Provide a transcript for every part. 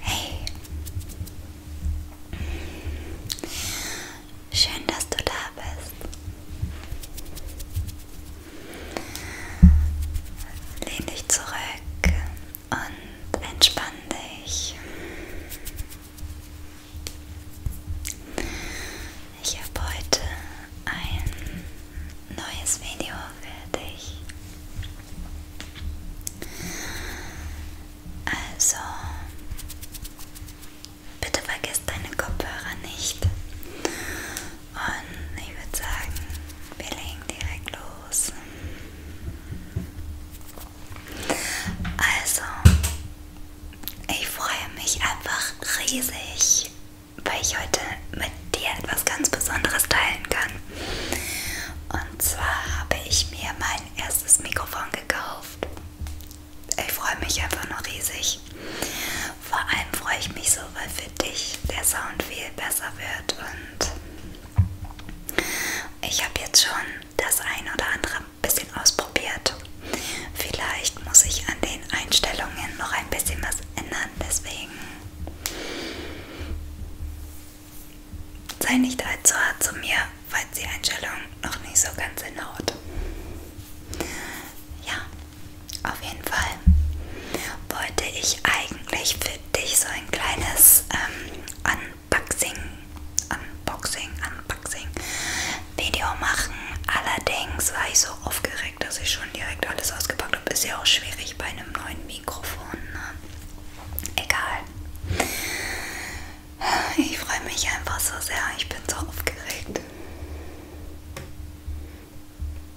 Hey, schön, dass du da bist. Lehn dich zurück und entspann dich. Ich habe heute ein neues Video für dich. Also, bitte vergiss deine Kopfhörer nicht und ich würde sagen, wir legen direkt los. Also, ich freue mich einfach riesig, weil ich heute mit dir etwas ganz Besonderes teilen kann. Und zwar habe ich mir mein erstes Mikrofon gekauft. Ich freue mich einfach nur riesig. Wunsch. Vor allem freue ich mich so, weil für dich der Sound viel besser wird und ich habe jetzt schon das ein oder andere bisschen ausprobiert. Vielleicht muss ich an den Einstellungen noch ein bisschen was ändern, deswegen sei nicht allzu hart zu mir, falls die Einstellung noch nicht so ganz hinhaut. Ja, auf jeden Fall wollte ich eigentlich für dich so ein kleines ähm, Unboxing, Unboxing, Unboxing Video machen. Allerdings war ich so aufgeregt, dass ich schon direkt alles ausgepackt habe. Ist ja auch schwierig bei einem neuen Mikrofon. Ne? Egal. Ich freue mich einfach so sehr. Ich bin so aufgeregt.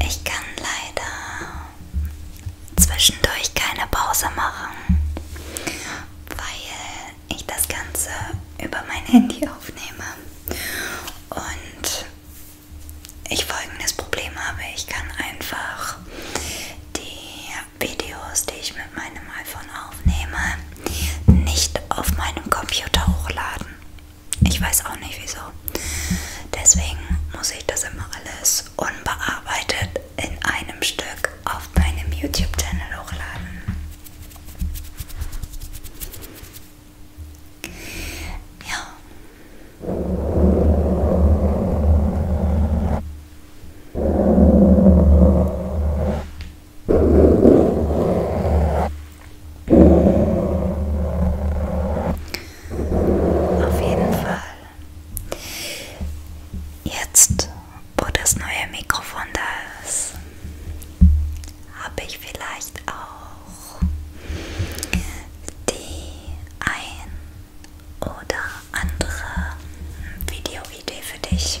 Ich kann leider zwischendurch keine Pause machen, weil ich das Ganze über mein Handy aufnehme und ich folgendes Problem habe. Ich kann einfach die Videos, die ich mit meinem iPhone aufnehme, nicht auf meinem Computer hochladen. Ich weiß auch nicht wieso. Deswegen muss ich das immer alles unbearbeitet in einem Stück auf meinem YouTube-Channel hochladen. Ja. Auf jeden Fall. Jetzt, wo das neue Mikrofon da ist, habe ich vielleicht auch die ein oder andere Videoidee für dich.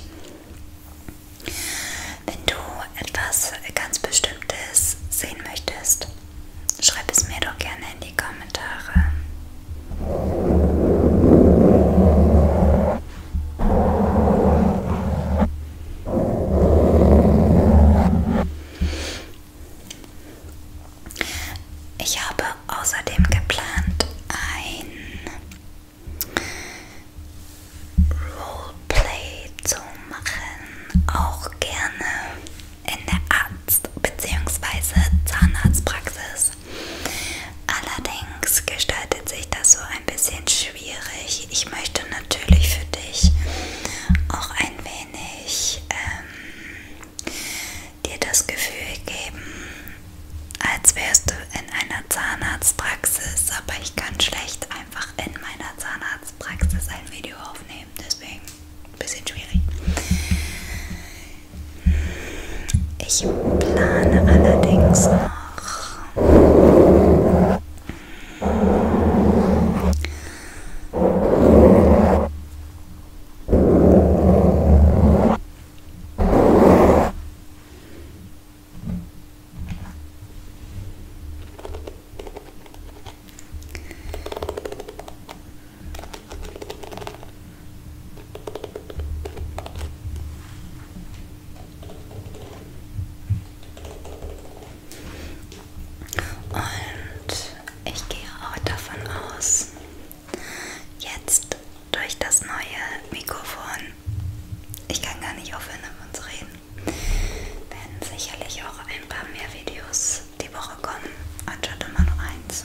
Wenn du etwas ganz Bestimmtes sehen möchtest, schreib es mir doch gerne in die Kommentare. Ich habe außerdem geplant, ein Roleplay zu machen, auch gerne in der Arzt- bzw. Zahnarztpraxis. Allerdings gestaltet sich das so ein bisschen schwierig. Ich möchte natürlich für dich auch ein wenig ähm, dir das Gefühl geben, als wärst du in einer Zahnarztpraxis, aber ich kann schlecht einfach einfach in meiner Zahnarztpraxis ein Video aufnehmen, deswegen ein bisschen schwierig. Ich plane allerdings noch und ich gehe auch davon aus, jetzt durch das neue Mikrofon, ich kann gar nicht aufhören davon zu reden, werden sicherlich auch ein paar mehr Videos die Woche kommen, anstatt immer nur eins.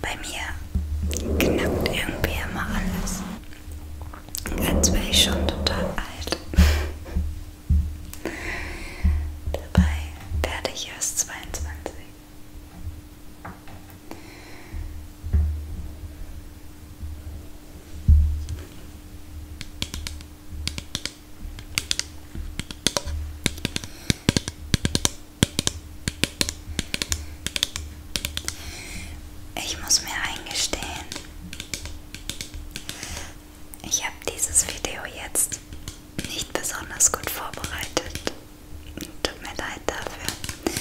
Bei mir knackt irgendwie immer alles. Jetzt wäre ich schon total alt. Dabei werde ich erst 22. Ich muss mir eingestehen, ich habe dieses Video jetzt nicht besonders gut vorbereitet. Tut mir leid dafür.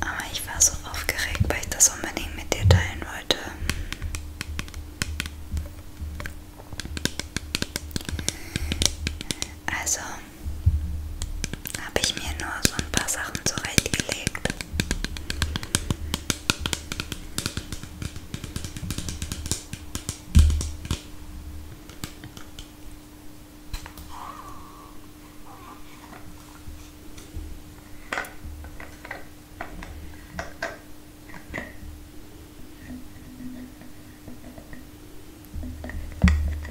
Aber ich war so aufgeregt, weil ich das unbedingt mit dir teilen wollte. Also, habe ich mir nur so ein paar Sachen zurechtgelegt.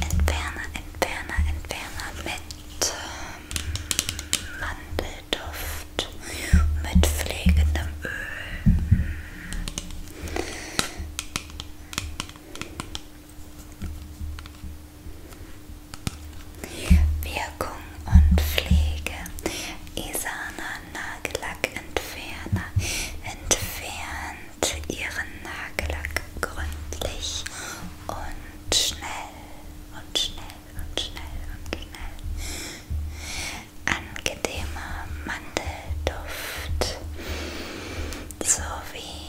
Entferner, Entferner, Entferner mit ähm, Mandelduft, mit pflegendem Öl. Wirkung und Pflege. Isana Nagellackentferner entfernt und ihren Nagellack gründlich und schnell und schnell und schnell und schnell. Angenehmer Mandelduft sowie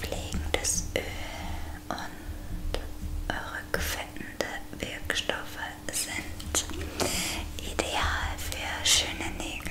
pflegendes Öl und rückfindende Wirkstoffe sind ideal für schöne Nägel.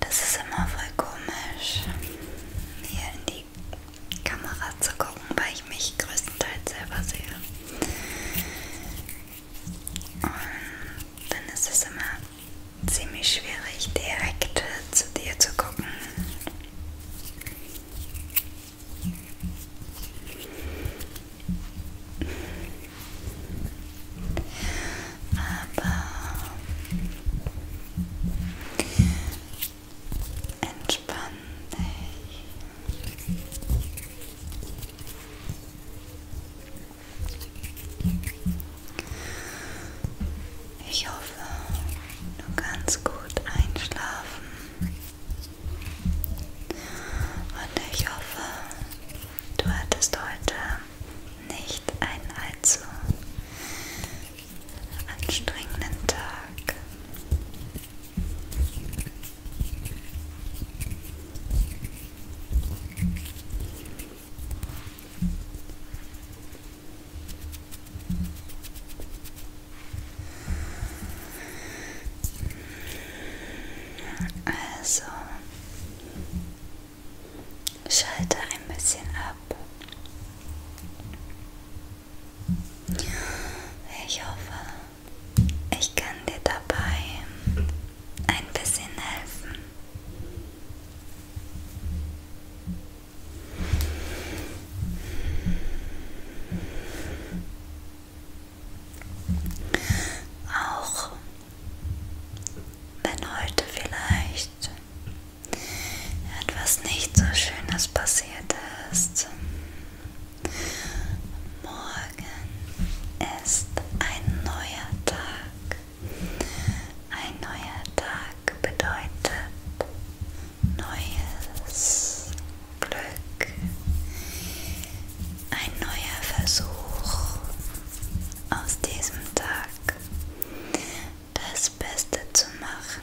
Das ist immer voll komisch, hier in die Kamera zu gucken, weil ich mich größtenteils selber sehe. Und dann ist es immer ziemlich schwierig, direkt zu dir zu gucken. Aber entspann dich. Ich hoffe, du kannst gut einschlafen. Und ich hoffe, du hattest heute nicht einen allzu anstrengenden Tag. Also schalte ein bisschen ab. Ich hoffe, ich kann dir dabei ein bisschen helfen. Auch wenn heute vielleicht etwas nicht so Schönes passiert ist, morgen ist ein neuer Tag. Ein neuer Tag bedeutet neues. Glück. Ein neuer Versuch aus diesem Tag, das Beste zu machen.